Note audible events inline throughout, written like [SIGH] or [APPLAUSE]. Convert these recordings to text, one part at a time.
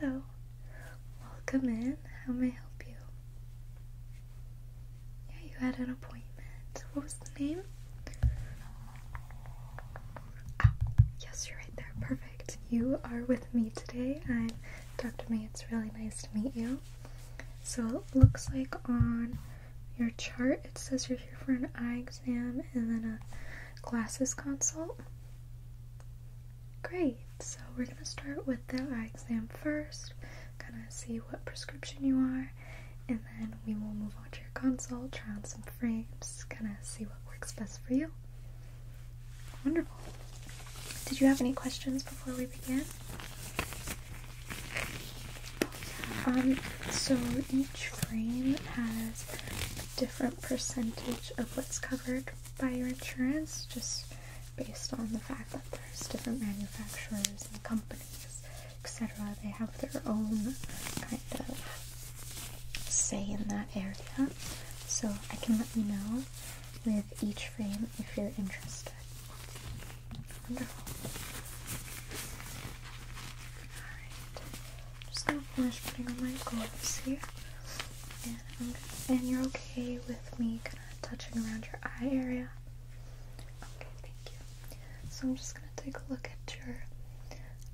Hello, welcome in. How may I help you? Yeah, you had an appointment. What was the name? Ah, yes, you're right there. Perfect. You are with me today. I'm Dr. May. It's really nice to meet you. So it looks like on your chart it says you're here for an eye exam and then a glasses consult. Great, so we're going to start with the eye exam first, kind of see what prescription you are, and then we will move on to your consult, try on some frames, kind of see what works best for you. Wonderful. Did you have any questions before we begin? Um, so each frame has a different percentage of what's covered by your insurance just based on the fact that there's different manufacturers and companies, etc. They have their own kind of say in that area. So I can let you know with each frame if you're interested. Wonderful. Alright. Just gonna finish putting on my gloves here. And you're okay with me kind of touching around your eye area? Okay, thank you. So I'm just gonna take a look at your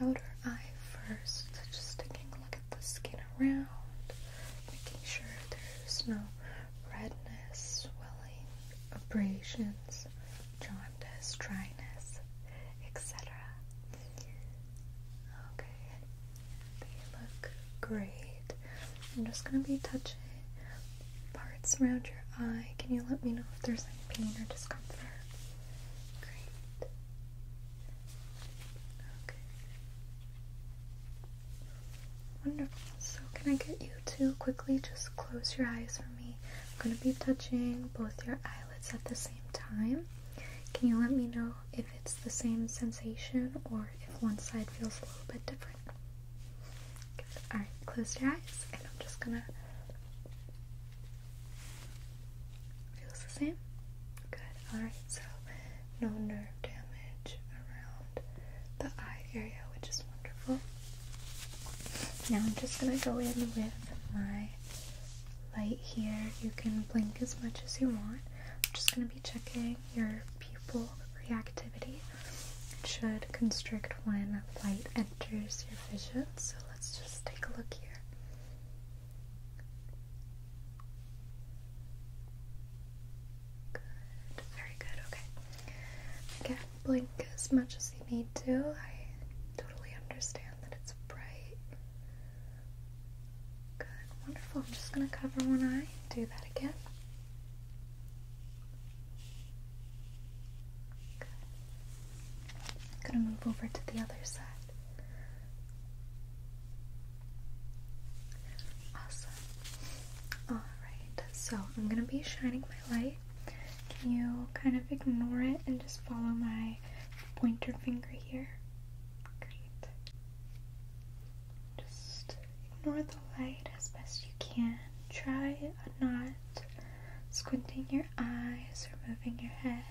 outer eye first. Just taking a look at the skin around, making sure there's no redness, swelling, abrasions, jaundice, dryness, etc. Okay, they look great. I'm just going to be touching parts around your eye. Can you let me know if there's any pain or discomfort? Great. Okay. Wonderful. So, can I get you to quickly just close your eyes for me? I'm going to be touching both your eyelids at the same time. Can you let me know if it's the same sensation or if one side feels a little bit different. Alright, close your eyes and I'm just gonna. Feels the same? Good. Alright, so no nerve damage around the eye area, which is wonderful. Now I'm just gonna go in with my light here. You can blink as much as you want. I'm just going to be checking your pupil reactivity. It should constrict when light enters your vision, so let's just take a look here. Good, very good, okay. Again, blink as much as you need to. I totally understand that it's bright. Good, wonderful. I'm just going to cover one eye. Do that again. I'm going to move over to the other side. Awesome. Alright, so I'm going to be shining my light. Can you kind of ignore it and just follow my pointer finger here? Just ignore the light as best you can. Try not squinting your eyes or moving your head.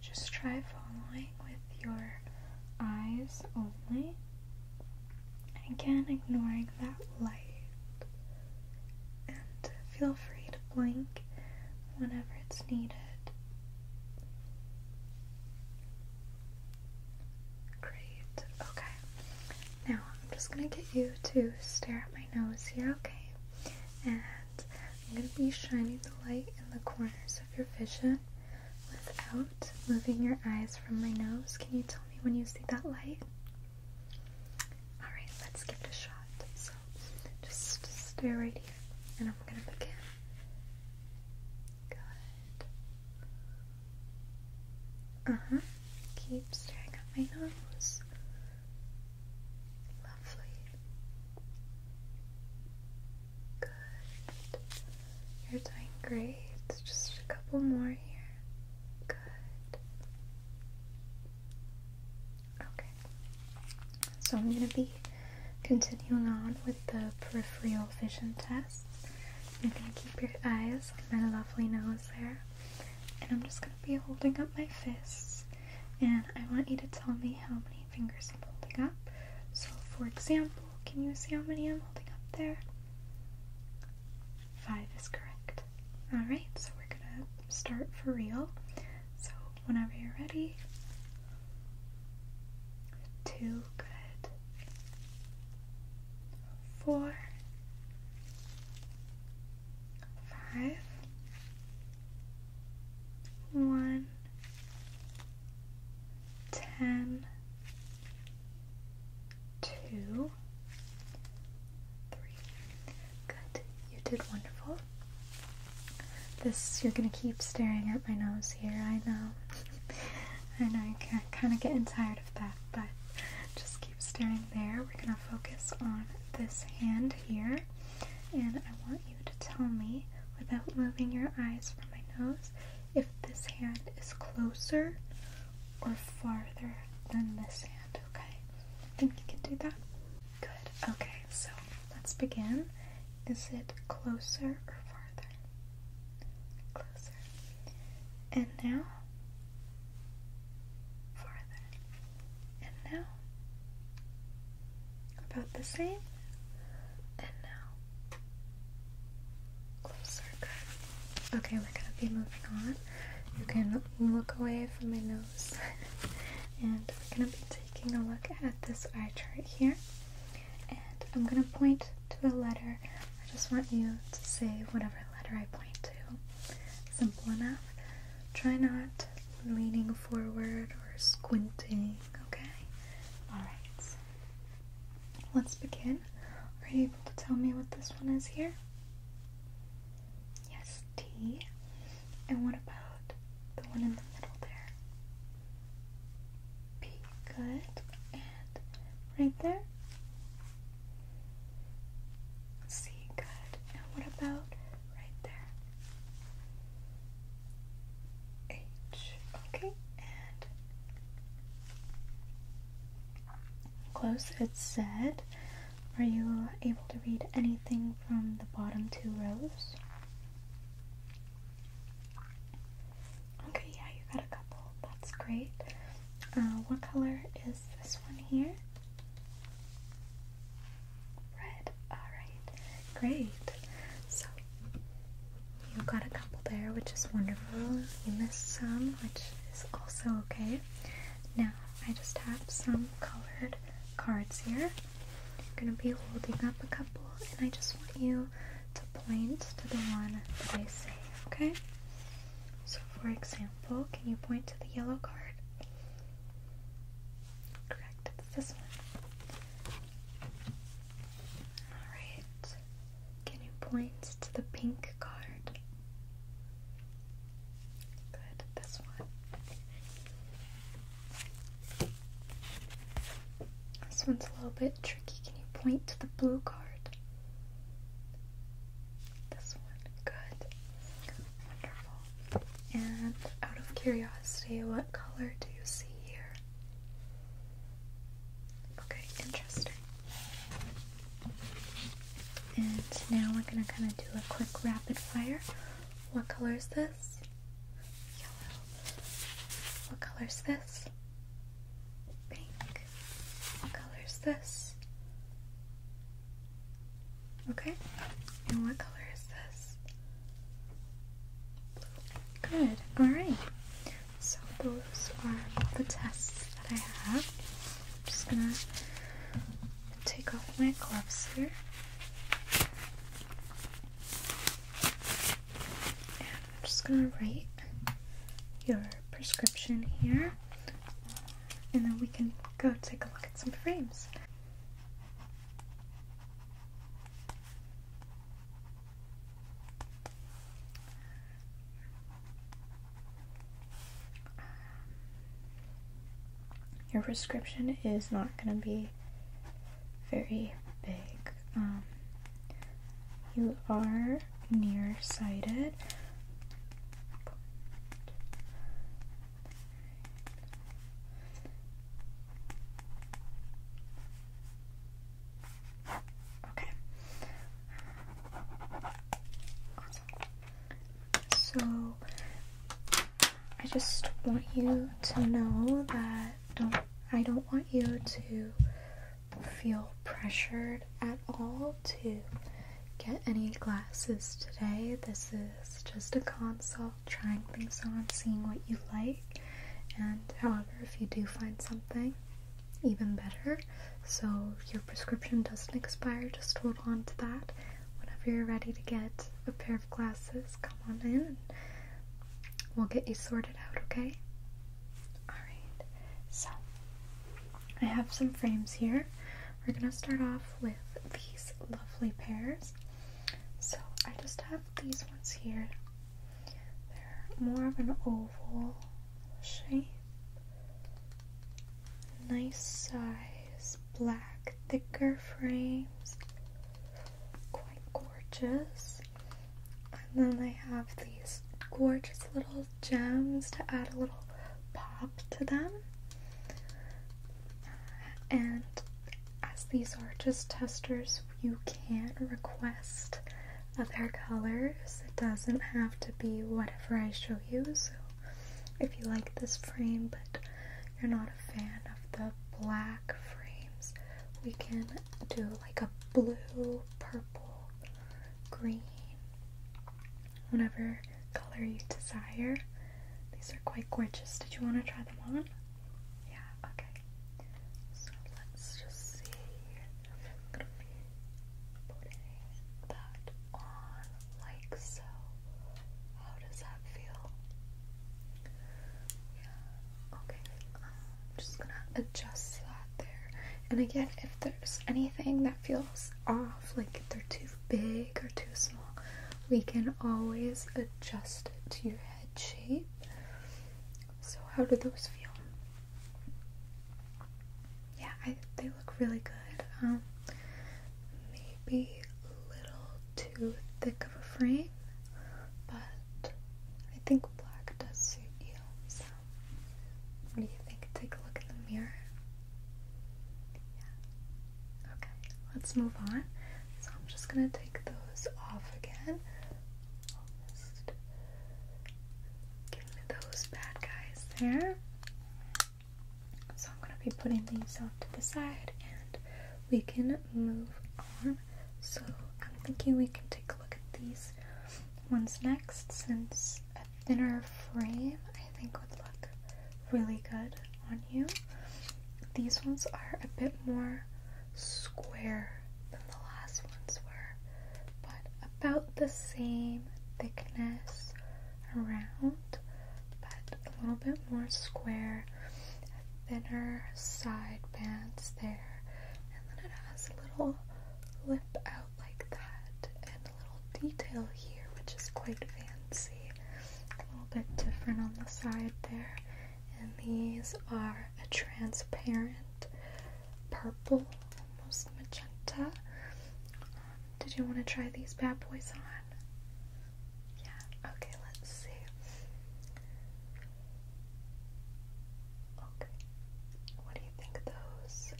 Just try following with your eyes only. Again, ignoring that light. And feel free to blink whenever it's needed. Great. Okay. Now I'm just going to get you to stare at my nose here, okay? And I'm going to be shining the light in the corners of your vision without moving your eyes from my nose. Can you tell me when you see that light? Alright, let's give it a shot. So just stare right here and I'm going to begin Good. Uh huh. Keep staring at my nose. Lovely. Good. You're doing great. Just a couple more here. Good. Okay. So I'm going to be continuing on with the peripheral vision test. You're going to keep your eyes my lovely nose there. And I'm just going to be holding up my fists. And I want you to tell me how many fingers I'm holding up. So, for example, can you see how many I'm holding up there? Five is correct. Alright, so we're going to start for real. So, whenever you're ready, Two, good. Four, five, one, ten, two, three. Good. You did wonderful. This, you're gonna keep staring at my nose here, I know. I know you're kind of getting tired of that, but just keep staring there. We're gonna focus on this hand here, and I want you to tell me without moving your eyes from my nose if this hand is closer or farther than this hand, okay? I think you can do that. Good. Okay, so let's begin. Is it closer or farther? Closer. And now? Farther. And now? About the same. And now? Closer. Okay, we're going to be moving on. You can look away from my nose. [LAUGHS] and we're going to be taking a look at this eye chart here, and I'm going to point to a letter. I just want you to say whatever letter I point to. Simple enough. Try not leaning forward or squinting, okay? Alright, let's begin. Are you able to tell me what this one is here? Yes, T. And what about the one in the middle there? P, good. And right there? C, good. And what about right there? H, okay. And close, it said. Are you able to read anything from the bottom two rows? Okay, yeah, you got a couple. That's great. Uh, what color is this one here? Red. Alright, great. So, you got a couple there, which is wonderful. You missed some, which is also okay. Now, I just have some colored cards here. I'm going to be holding up a couple, and I just want you to point to the one that I say, okay? So, for example, can you point to the yellow card? Correct, it's this one. Alright, can you point to the pink card? Good, this one. This one's a little bit tricky. Can you point to the blue card? This one. Good. Wonderful. And out of curiosity, what color do you see here? Okay, interesting. And now we're going to kind of do a quick rapid fire. What color is this? Yellow. What color's this? Pink. What color's this? Okay. And what color is this? Blue. Good. Alright. So those are all the tests that I have. I'm just gonna take off my gloves here. I'm just gonna write your prescription here, and then we can go take a look at some frames. Um, your prescription is not going to be very big. Um, you are nearsighted. Okay. So I just want you to know that don't I don't want you to feel pressured at all to get any glasses today. This is just a consult, trying things on, seeing what you like, and however, if you do find something even better, so your prescription doesn't expire, just hold on to that. Whenever you're ready to get a pair Glasses, come on in. we'll get you sorted out, okay? Alright, so I have some frames here. We're gonna start off with these lovely pairs. So I just have these ones here. They're more of an oval shape. Nice size, black, thicker frames quite gorgeous. And then they have these gorgeous little gems to add a little pop to them. And as these are just testers, you can request other colors. It doesn't have to be whatever I show you. So if you like this frame but you're not a fan the black frames, we can do like a blue, purple, green, whatever color you desire. These are quite gorgeous. Did you want to try them on? Yeah, okay. So let's just see. I'm gonna be putting that on like so. How does that feel? Yeah, okay. I'm just gonna adjust that there. And again, if there's anything that feels off, like if they're too big or too small, we can always adjust it to your head shape. So, how do those feel? Yeah, they look really good. Um, maybe a little too thick of a frame, but I think black does suit you. So, what do you think? Take a look in the mirror. Yeah. Okay, let's move on. So, I'm just gonna take those off again. give me those bad guys there. So, I'm gonna be putting these off to the side and we can move on. So I'm thinking we can take a look at these ones next since a thinner frame I think would look really good on you. These ones are a bit more square than the last ones were, but about the same thickness around, but a little bit more square, thinner side bands there, and then it has a little lip out like that, and a little detail here, which is quite fancy. A little bit different on the side there, and these are a transparent purple, almost magenta. Um, did you want to try these bad boys on? Yeah, okay, let's see. Okay, what do you think of those?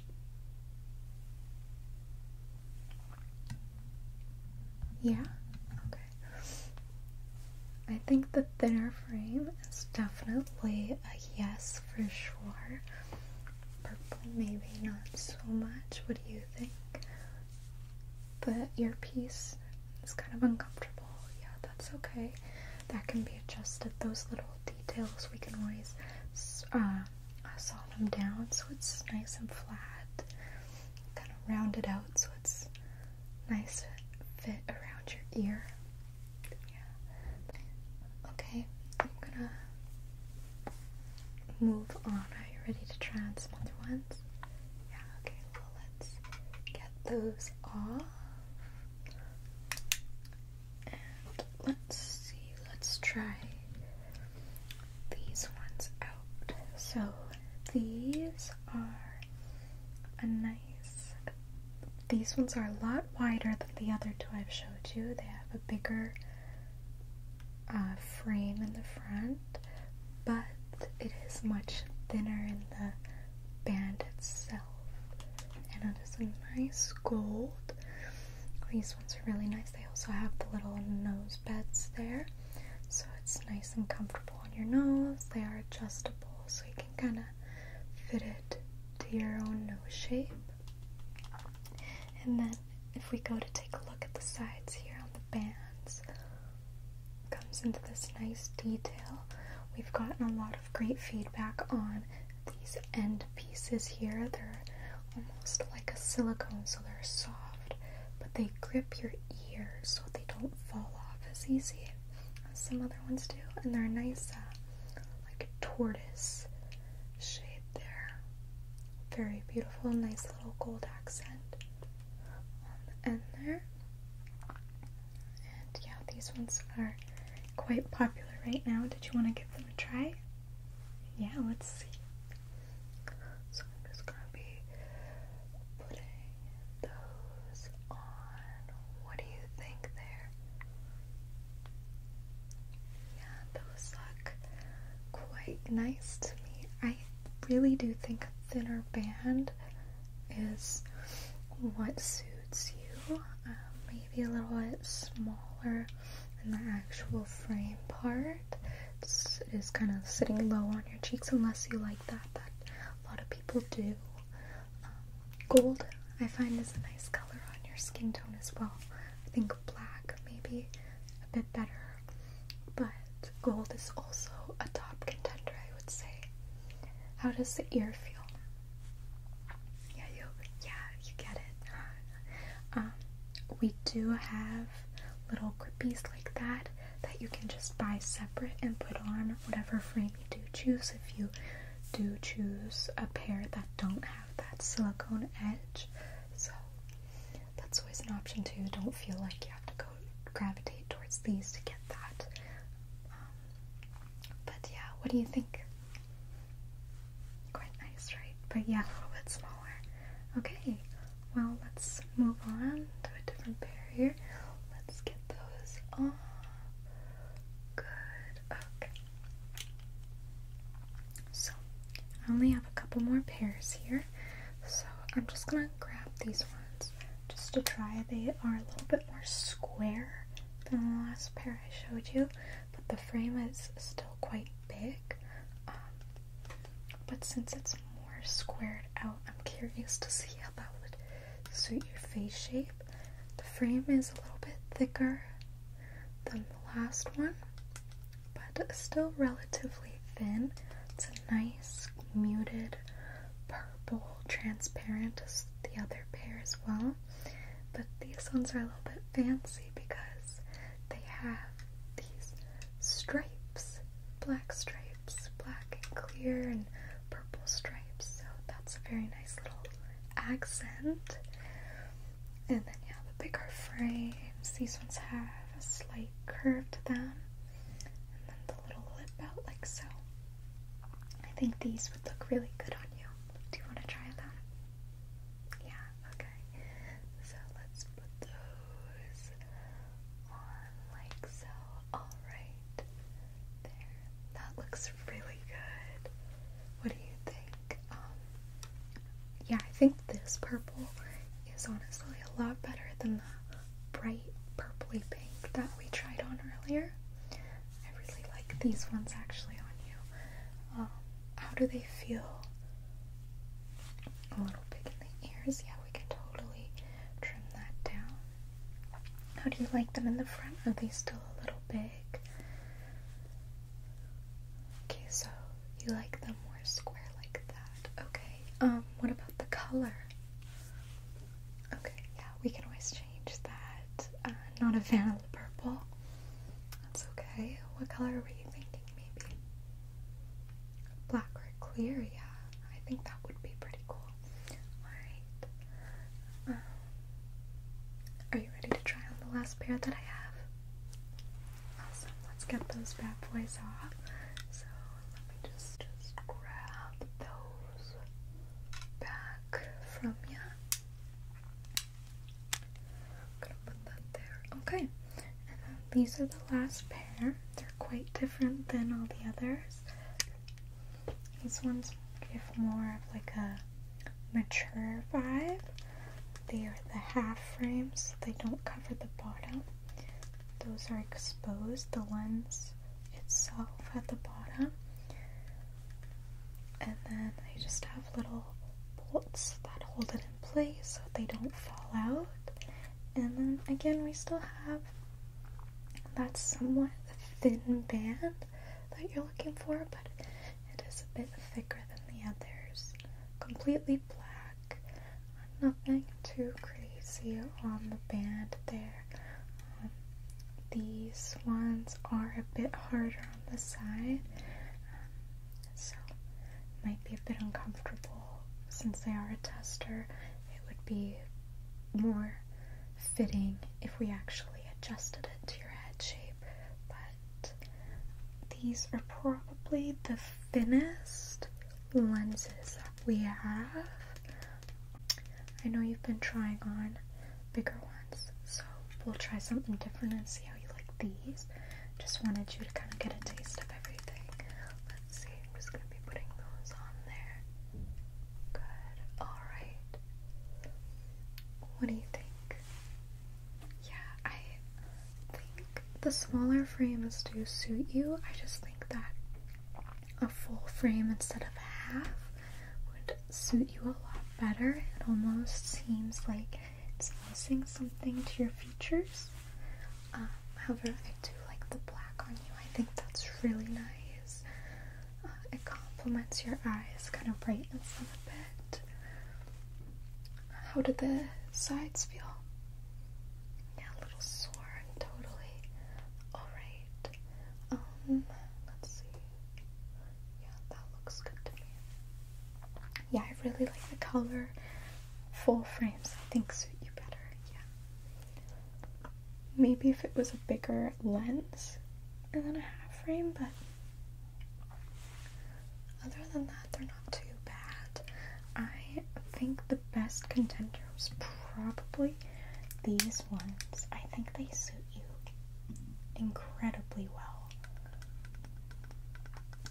Yeah, okay. I think the thinner frame is definitely a yes for sure. Purple, maybe not so much. What do you think? the earpiece is kind of uncomfortable. Yeah, that's okay. That can be adjusted. Those little details we can always uh, saw them down so it's nice and flat, kind of rounded out so it's nice fit around your ear. Yeah. Okay, I'm gonna move on. Are you ready to try on some other ones? Yeah, okay, well, let's get those off. And let's see, let's try these ones out. So, these are a nice, these ones are a lot wider than the other two I've showed you. They have a bigger uh, frame in the front, but it is much thinner in the band itself. And it is a nice gold. These ones are really nice. They also have the little nose beds there. So it's nice and comfortable on your nose. They are adjustable so you can kind of fit it to your own nose shape. And then if we go to take a look at the sides here on the bands, comes into this nice detail. We've gotten a lot of great feedback on these end pieces here. They're almost like a silicone, so they're soft, but they grip your ear so they don't fall off as easy as some other ones do. And they're nice, uh, like a tortoise shade there. Very beautiful, nice little gold accent on the end there. And yeah, these ones are quite popular right now. Did you want to give them a try? Yeah, let's see. So I'm just gonna be putting those on. What do you think there? Yeah, those look quite nice to me. I really do think a thinner band is what suits you. Um, maybe a little bit smaller in the actual frame part. It's, it is kind of sitting low on your cheeks unless you like that. That a lot of people do. Um, gold I find is a nice color on your skin tone as well. I think black maybe a bit better, but gold is also a top contender, I would say. How does the ear feel? Yeah, you, yeah, you get it. Uh, um, we do have little grippies like that that you can just buy separate and put on whatever frame you do choose. If you do choose a pair that don't have that silicone edge, so that's always an option too. Don't feel like you have to go gravitate towards these to get that. Um, but yeah, what do you think? Quite nice, right? But yeah, a little bit smaller. Okay, well, let's move on to a different pair here. Let's get those off. Good, okay. So, I only have a couple more pairs here. So I'm just gonna grab these ones just to try. They are a little bit more square than the last pair I showed you, but the frame is still quite big. Um, but since it's more squared out, I'm curious to see how that would suit your face shape. The frame is a little bit thicker than the last one, but still relatively thin. It's a nice muted purple transparent as the other pair as well. But these ones are a little bit fancy because they have these stripes, black stripes, black and clear and purple stripes. So that's a very nice little accent. And then yeah, the bigger frames. These ones have a slight curved them, and then the little lip out like so. I think these would look really good on you. Do you want to try them? Yeah, okay. So let's put those on like so. Alright. There. That looks really good. What do you think? Um, yeah, I think this purple is honestly a lot better than the bright purpley pink that we tried on earlier. I really like these ones actually on you. Um, how do they feel? A little big in the ears. Yeah, we can totally trim that down. How do you like them in the front? Are they still a little big? Okay, so you like them more square like that. Okay, um, what about the color? Okay, yeah, we can always change that. Uh, not a fan of the purple. That's okay. What color were you thinking, maybe? Black or clear? Yeah, I think that would be pretty cool. Alright. Um, are you ready to try on the last pair that I have? Awesome, let's get those bad boys off. So let me just, just grab those back from you. gonna put that there. Okay, and then these are the last pair. They're quite different than all the others. These ones give more of like a mature vibe. They are the half frames, they don't cover the bottom. Those are exposed, the lens itself at the bottom. And then they just have little bolts that hold it in place so they don't fall out. And then again, we still have that somewhat thin band that you're looking for, but it is a bit thicker than the others. Completely black nothing too crazy on the band there. Um, these ones are a bit harder on the side, um, so might be a bit uncomfortable since they are a tester. It would be more fitting if we actually adjusted it to your head shape, but these are probably the thinnest lenses that we have. I know you've been trying on bigger ones, so we'll try something different and see how you like these. Just wanted you to kind of get a taste of everything. Let's see, I'm just going to be putting those on there. Good, alright. What do you think? Yeah, I think the smaller frames do suit you. I just think that a full frame instead of half would suit you a lot better. It almost seems like it's missing something to your features. Um, however, I do like the black on you. I think that's really nice. Uh, it complements your eyes, kind of brightens them a bit. How did the sides feel? Yeah, a little sore totally alright. Um, let's see. Yeah, that looks good to me. Yeah, I really like the color. Full frames, I think, suit you better. Yeah. Maybe if it was a bigger lens and then a half frame, but other than that, they're not too bad. I think the best contender was probably these ones. I think they suit you incredibly well.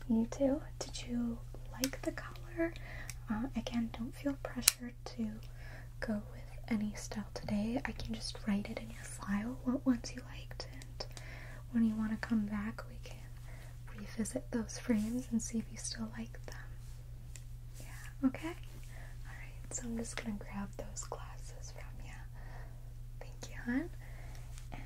You too? Did you like the color? Uh, again, don't feel pressured to go with any style today. I can just write it in your file what ones you liked, and when you want to come back, we can revisit those frames and see if you still like them. Yeah, okay? Alright, so I'm just gonna grab those glasses from you. Thank you, hon. And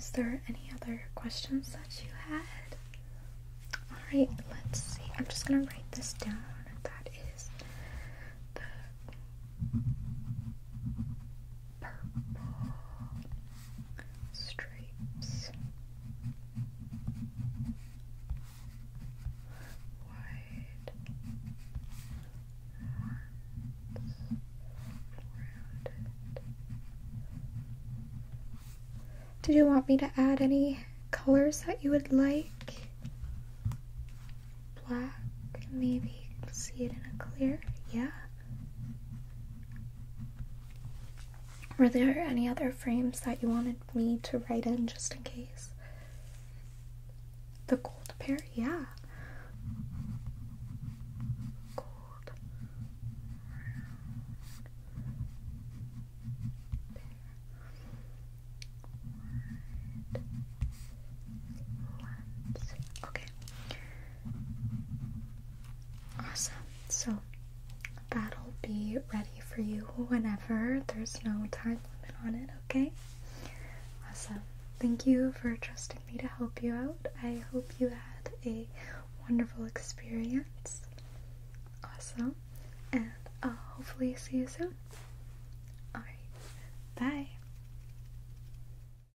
is there any other questions that you had? Alright, let's see. I'm just gonna write this down. That is the purple stripes, wide ones, rounded. Did you want me to add any colors that you would like? Black, maybe see it in a clear, yeah. Were there any other frames that you wanted me to write in just in case? The gold pair, yeah. Okay. Awesome. So that'll be ready for you whenever. There's no time limit on it, okay? Awesome. Thank you for trusting me to help you out. I hope you had a wonderful experience. Awesome. And I'll uh, hopefully see you soon. Alright. Bye.